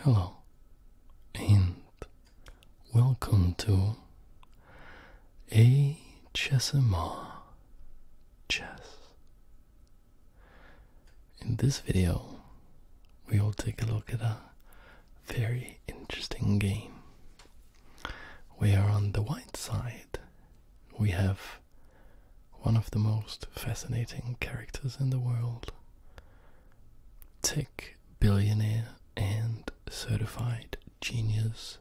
Hello and welcome to HSMR Chess. In this video, we will take a look at a very interesting game. We are on the white side we have one of the most fascinating characters in the world, tech billionaire and certified genius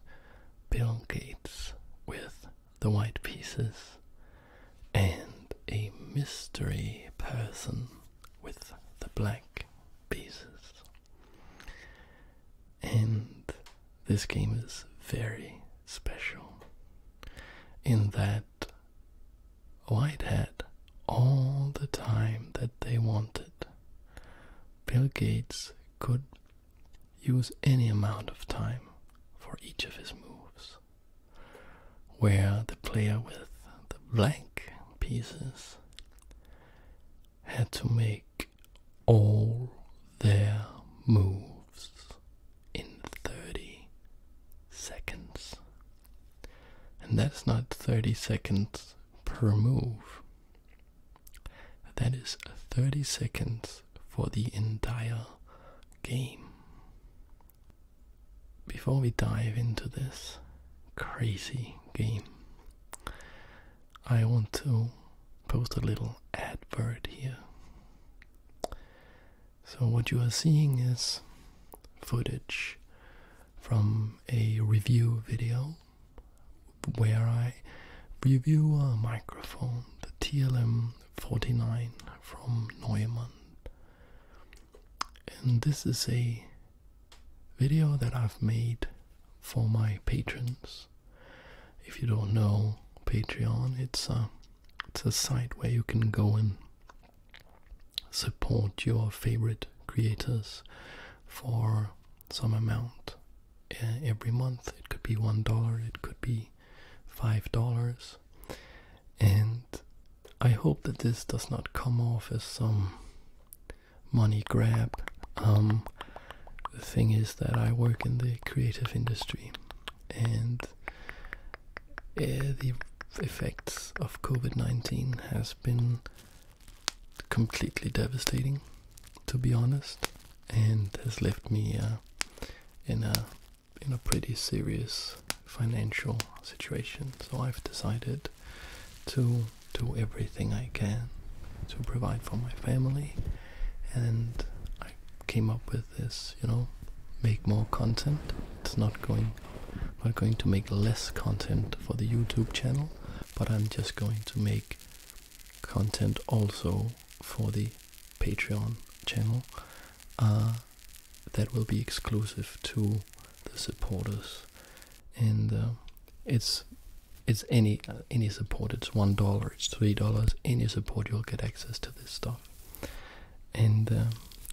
Bill Gates with the white pieces and a mystery person with the black pieces. And this game is very special in that White had all the time that they wanted. Bill Gates could use any amount of time for each of his moves. Where the player with the blank pieces had to make all their moves in 30 seconds. And that's not 30 seconds per move. That is 30 seconds for the entire game. Before we dive into this crazy game, I want to post a little advert here. So, what you are seeing is footage from a review video where I review a microphone, the TLM 49 from Neumann. And this is a video that I've made for my patrons. If you don't know Patreon, it's a, it's a site where you can go and support your favorite creators for some amount eh, every month. It could be one dollar, it could be five dollars. And I hope that this does not come off as some money grab. Um, the thing is that I work in the creative industry and the effects of COVID-19 has been completely devastating, to be honest, and has left me uh, in a in a pretty serious financial situation. So I've decided to do everything I can to provide for my family, and I came up with this. You know, make more content. It's not going we're going to make less content for the YouTube channel, but I'm just going to make content also for the Patreon channel uh, that will be exclusive to the supporters, and uh, it's it's any any support. It's one dollar, it's three dollars. Any support, you'll get access to this stuff and uh,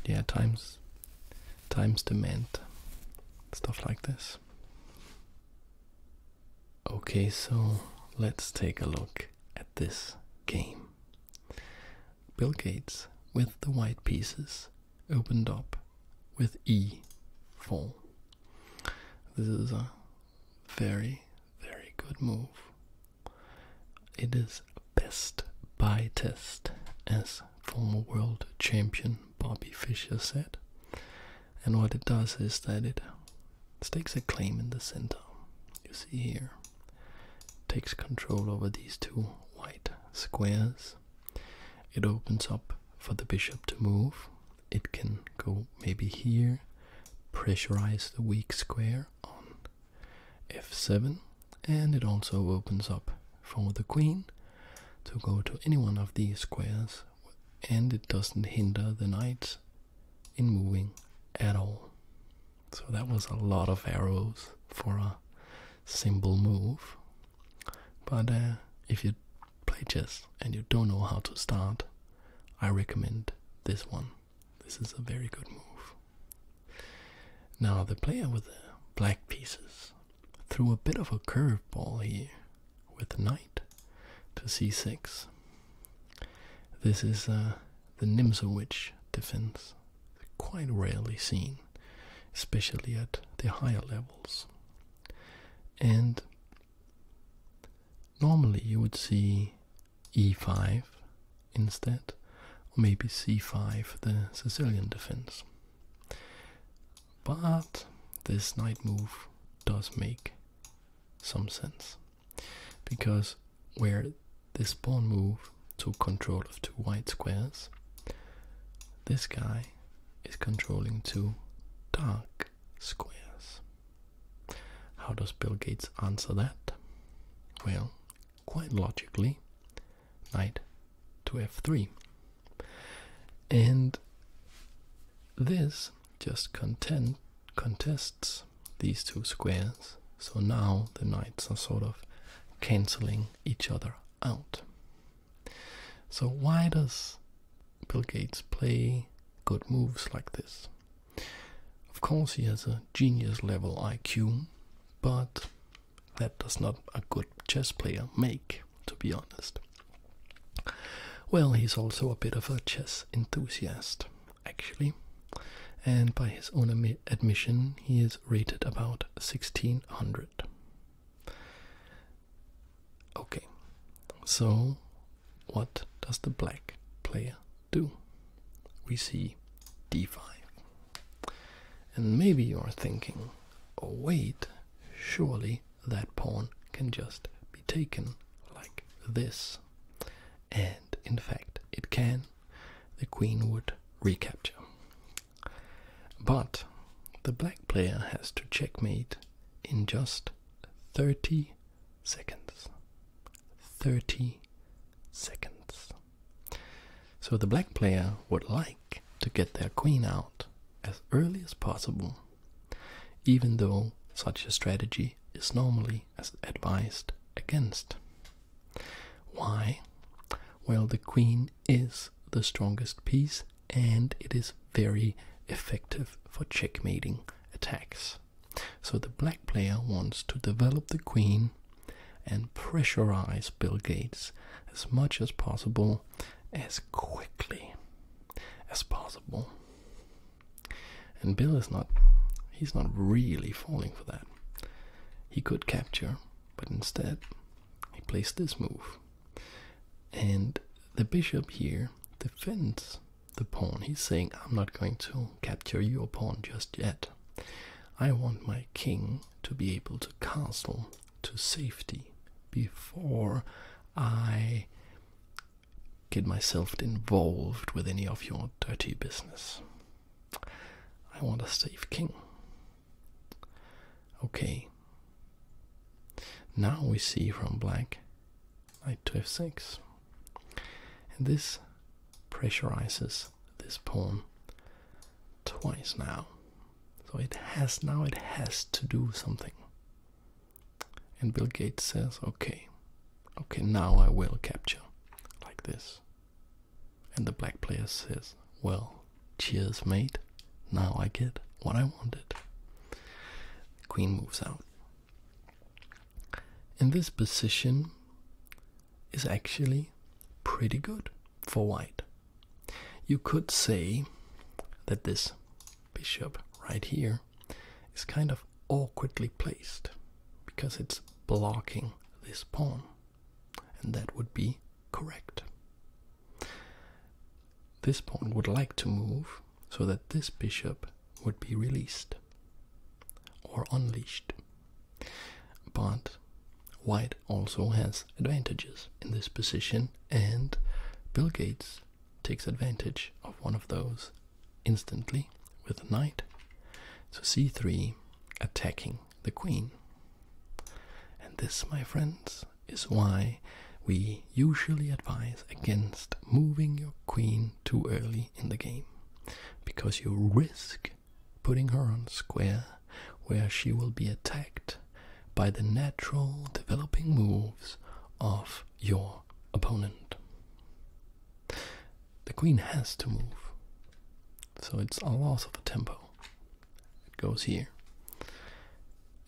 yeah times times demand stuff like this okay so let's take a look at this game bill gates with the white pieces opened up with e4 this is a very very good move it is best by test, as former world champion Bobby Fischer said. And what it does is that it stakes a claim in the center. You see here, takes control over these two white squares. It opens up for the bishop to move. It can go maybe here, pressurize the weak square on f7 and it also opens up for the queen to go to any one of these squares and it doesn't hinder the knights in moving at all. So that was a lot of arrows for a simple move. But uh, if you play chess and you don't know how to start, I recommend this one. This is a very good move. Now, the player with the black pieces threw a bit of a curveball here with knight to c6. This is uh, the Nimzowitsch defense, quite rarely seen, especially at the higher levels. And normally you would see e5 instead, or maybe c5, the Sicilian defense. But this knight move does make some sense because where this pawn move took control of two white squares, this guy is controlling two dark squares. How does Bill Gates answer that? Well, quite logically, knight to f3. And this just content, contests these two squares, so now the knights are sort of cancelling each other out. So why does Bill Gates play good moves like this? Of course, he has a genius level IQ, but that does not a good chess player make, to be honest. Well, he's also a bit of a chess enthusiast, actually, and by his own admission, he is rated about 1600. Okay, so what does the black player do? We see d5. And maybe you're thinking, oh wait, surely that pawn can just be taken like this. And in fact, it can. The queen would recapture. But the black player has to checkmate in just 30 seconds. 30 seconds. So the black player would like to get their queen out as early as possible, even though such a strategy is normally advised against. Why? Well, the queen is the strongest piece and it is very effective for checkmating attacks. So the black player wants to develop the queen and pressurize Bill Gates as much as possible, as quickly as possible. And Bill is not, he's not really falling for that. He could capture, but instead he placed this move. And the bishop here defends the pawn. He's saying, I'm not going to capture your pawn just yet. I want my king to be able to castle to safety before I get myself involved with any of your dirty business. I want a safe king. Okay. Now we see from black knight to f6. And this pressurizes this pawn twice now. So it has now it has to do something. And Bill Gates says, okay, okay, now I will capture like this. And the black player says, well, cheers, mate. Now I get what I wanted. Queen moves out. In this position, is actually pretty good for white. You could say that this bishop right here is kind of awkwardly placed because it's blocking this pawn, and that would be correct. This pawn would like to move so that this bishop would be released or unleashed. But White also has advantages in this position, and Bill Gates takes advantage of one of those instantly with the knight. So c3 attacking the queen. And this, my friends, is why we usually advise against moving your queen too early in the game because you risk putting her on square where she will be attacked by the natural developing moves of your opponent. The queen has to move, so it's a loss of a tempo. It goes here.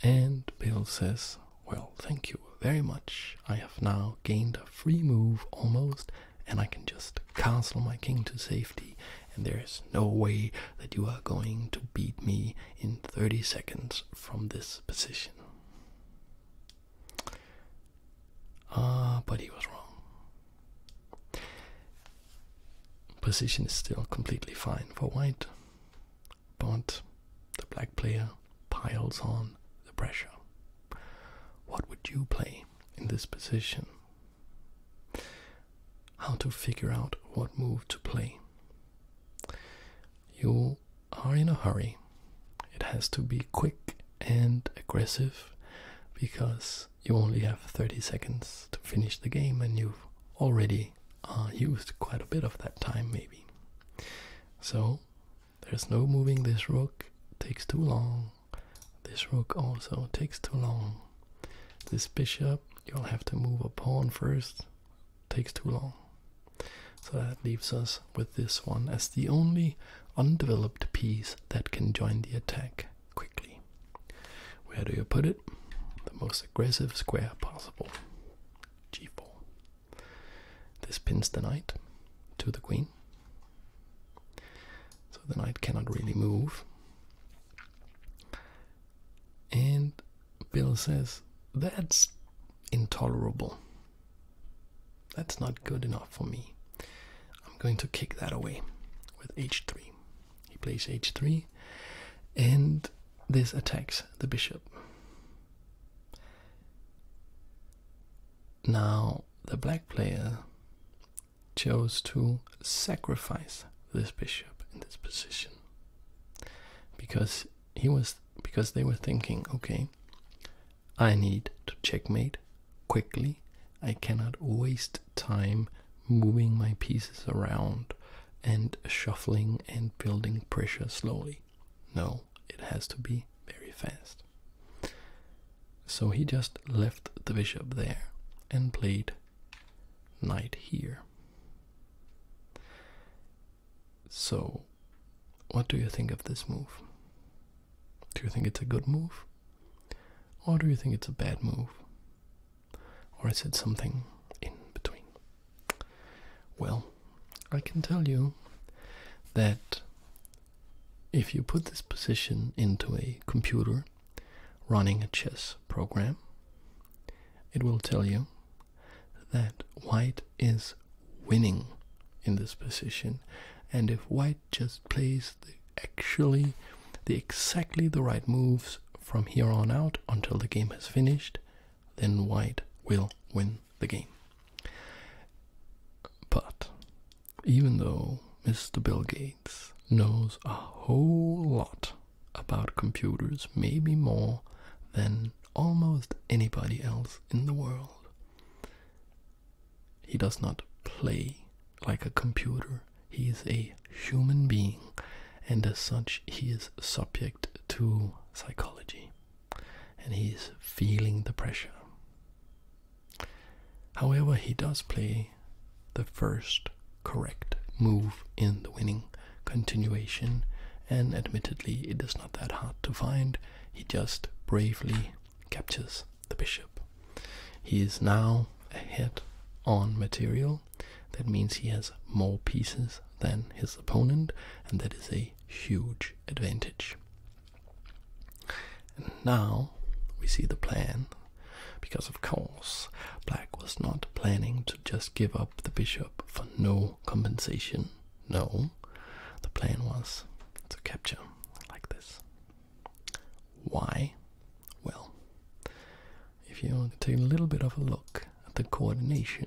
And Bill says, Well, thank you very much. I have now gained a free move almost and I can just castle my king to safety, and there is no way that you are going to beat me in 30 seconds from this position. Ah, but he was wrong. Position is still completely fine for white, but the black player piles on the pressure. What would you play? in this position. How to figure out what move to play. You are in a hurry. It has to be quick and aggressive because you only have 30 seconds to finish the game and you've already used quite a bit of that time, maybe. So there's no moving this rook, takes too long. This rook also takes too long. This bishop, you'll have to move a pawn first, takes too long. So that leaves us with this one as the only undeveloped piece that can join the attack quickly. Where do you put it? The most aggressive square possible. g4. This pins the knight to the queen. So the knight cannot really move. And Bill says, That's intolerable. That's not good enough for me. I'm going to kick that away with h3. He plays h3, and this attacks the bishop. Now, the black player chose to sacrifice this bishop in this position because he was because they were thinking, okay, I need to checkmate quickly. I cannot waste time moving my pieces around and shuffling and building pressure slowly. No, it has to be very fast. So he just left the bishop there and played knight here. So, what do you think of this move? Do you think it's a good move? Or do you think it's a bad move? Or is it something in between? Well, I can tell you that if you put this position into a computer running a chess program, it will tell you that white is winning in this position. And if white just plays actually the exactly the right moves from here on out until the game has finished, then white will win the game. But even though Mr. Bill Gates knows a whole lot about computers, maybe more than almost anybody else in the world, he does not play like a computer. He is a human being, and as such, he is subject to psychology and he is feeling the pressure. However, he does play the first correct move in the winning continuation, and admittedly, it is not that hard to find. He just bravely captures the bishop. He is now ahead on material. That means he has more pieces than his opponent, and that is a huge advantage. And now we see the plan, because of course, Black was not planning to just give up the bishop for no compensation. No, the plan was to capture like this. Why? Well, if you take a little bit of a look at the coordination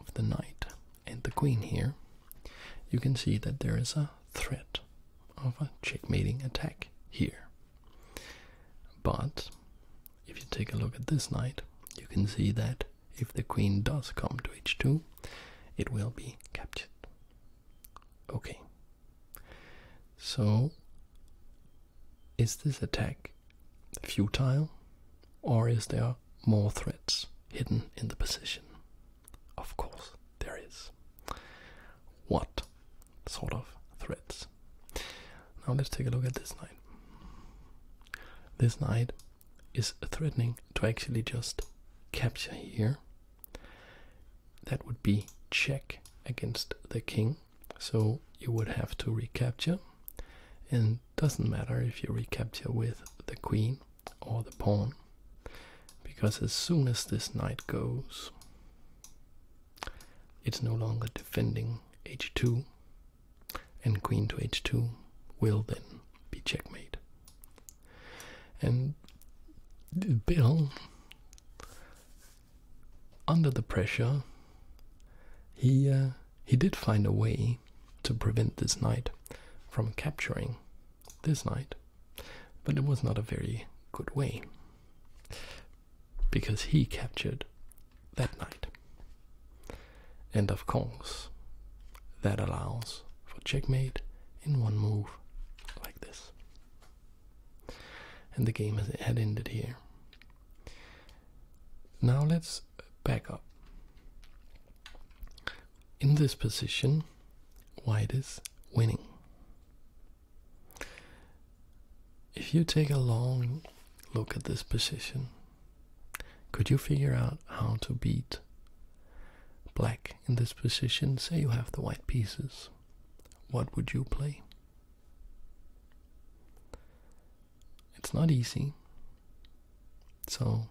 of the knight and the queen here, you can see that there is a threat of a checkmating attack here. But if you take a look at this knight, you can see that if the queen does come to h2, it will be captured. Okay. So, is this attack futile or is there more threats hidden in the position? Of course, there is. What sort of threats? Now let's take a look at this knight. This knight is threatening to actually just capture here. That would be check against the king. So you would have to recapture. And doesn't matter if you recapture with the queen or the pawn because as soon as this knight goes it's no longer defending h2 and queen to h2 will then be checkmate and bill under the pressure he uh, he did find a way to prevent this knight from capturing this knight, but it was not a very good way because he captured that knight. And of course, that allows for checkmate in one move like this. And the game had ended here. Now let's back up in this position, white is winning. If you take a long look at this position, could you figure out how to beat black in this position? Say you have the white pieces. What would you play? It's not easy. So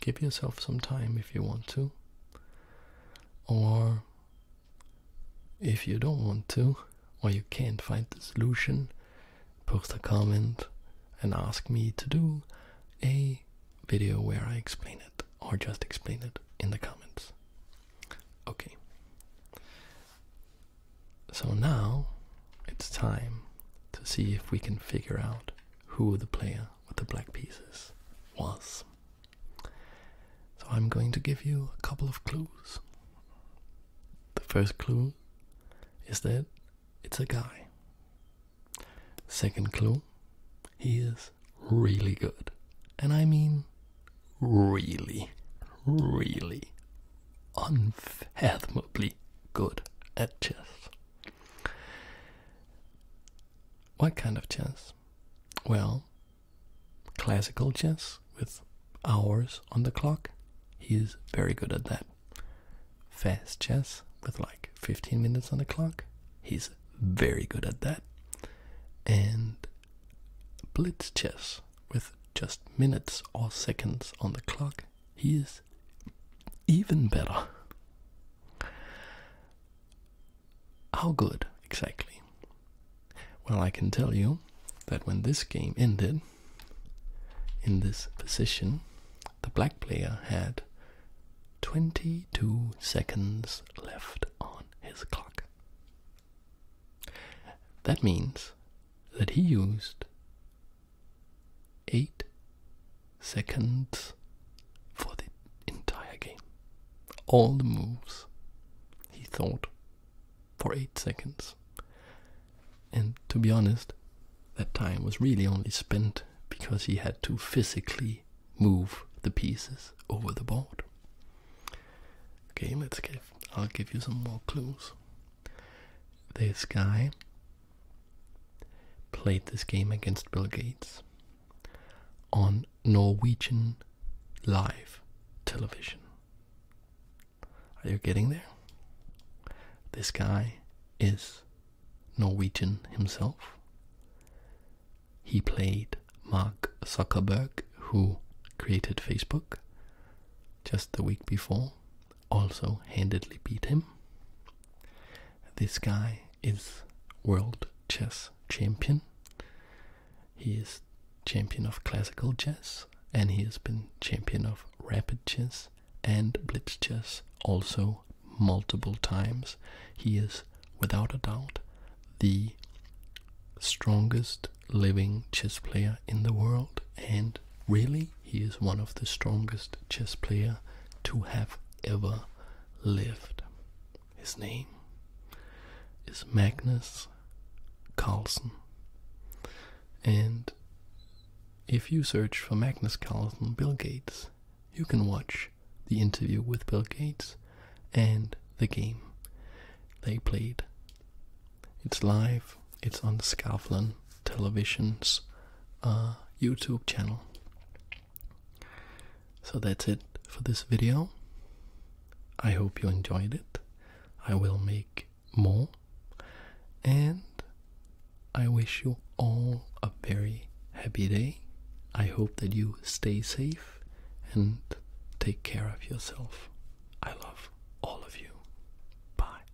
give yourself some time if you want to. Or if you don't want to, or you can't find the solution, post a comment and ask me to do a video where I explain it, or just explain it in the comments. Okay. So now it's time to see if we can figure out who the player with the black pieces was. So I'm going to give you a couple of clues. The first clue is that it's a guy. Second clue, he is really good. And I mean really, really unfathomably good at chess. What kind of chess? Well, classical chess with hours on the clock. he's very good at that. Fast chess with like 15 minutes on the clock. He's very good at that. And blitz chess with just minutes or seconds on the clock he is even better. How good exactly? Well, I can tell you that when this game ended, in this position, the black player had 22 seconds left on his clock. That means that he used 8 seconds for the entire game. All the moves he thought for 8 seconds. And to be honest, that time was really only spent because he had to physically move the pieces over the board. Okay, let's give I'll give you some more clues. This guy played this game against Bill Gates on Norwegian live television. Are you getting there? This guy is Norwegian himself. He played Mark Zuckerberg, who created Facebook just the week before also handedly beat him. This guy is world chess champion. He is champion of classical chess and he has been champion of rapid chess and blitz chess also multiple times. He is without a doubt the strongest living chess player in the world and really he is one of the strongest chess players to have ever lived. His name is Magnus Carlsen. And if you search for Magnus Carlsen Bill Gates, you can watch the interview with Bill Gates and the game they played. It's live, it's on Scaflan television's uh, YouTube channel. So that's it for this video. I hope you enjoyed it. I will make more. And I wish you all a very happy day. I hope that you stay safe and take care of yourself. I love all of you. Bye.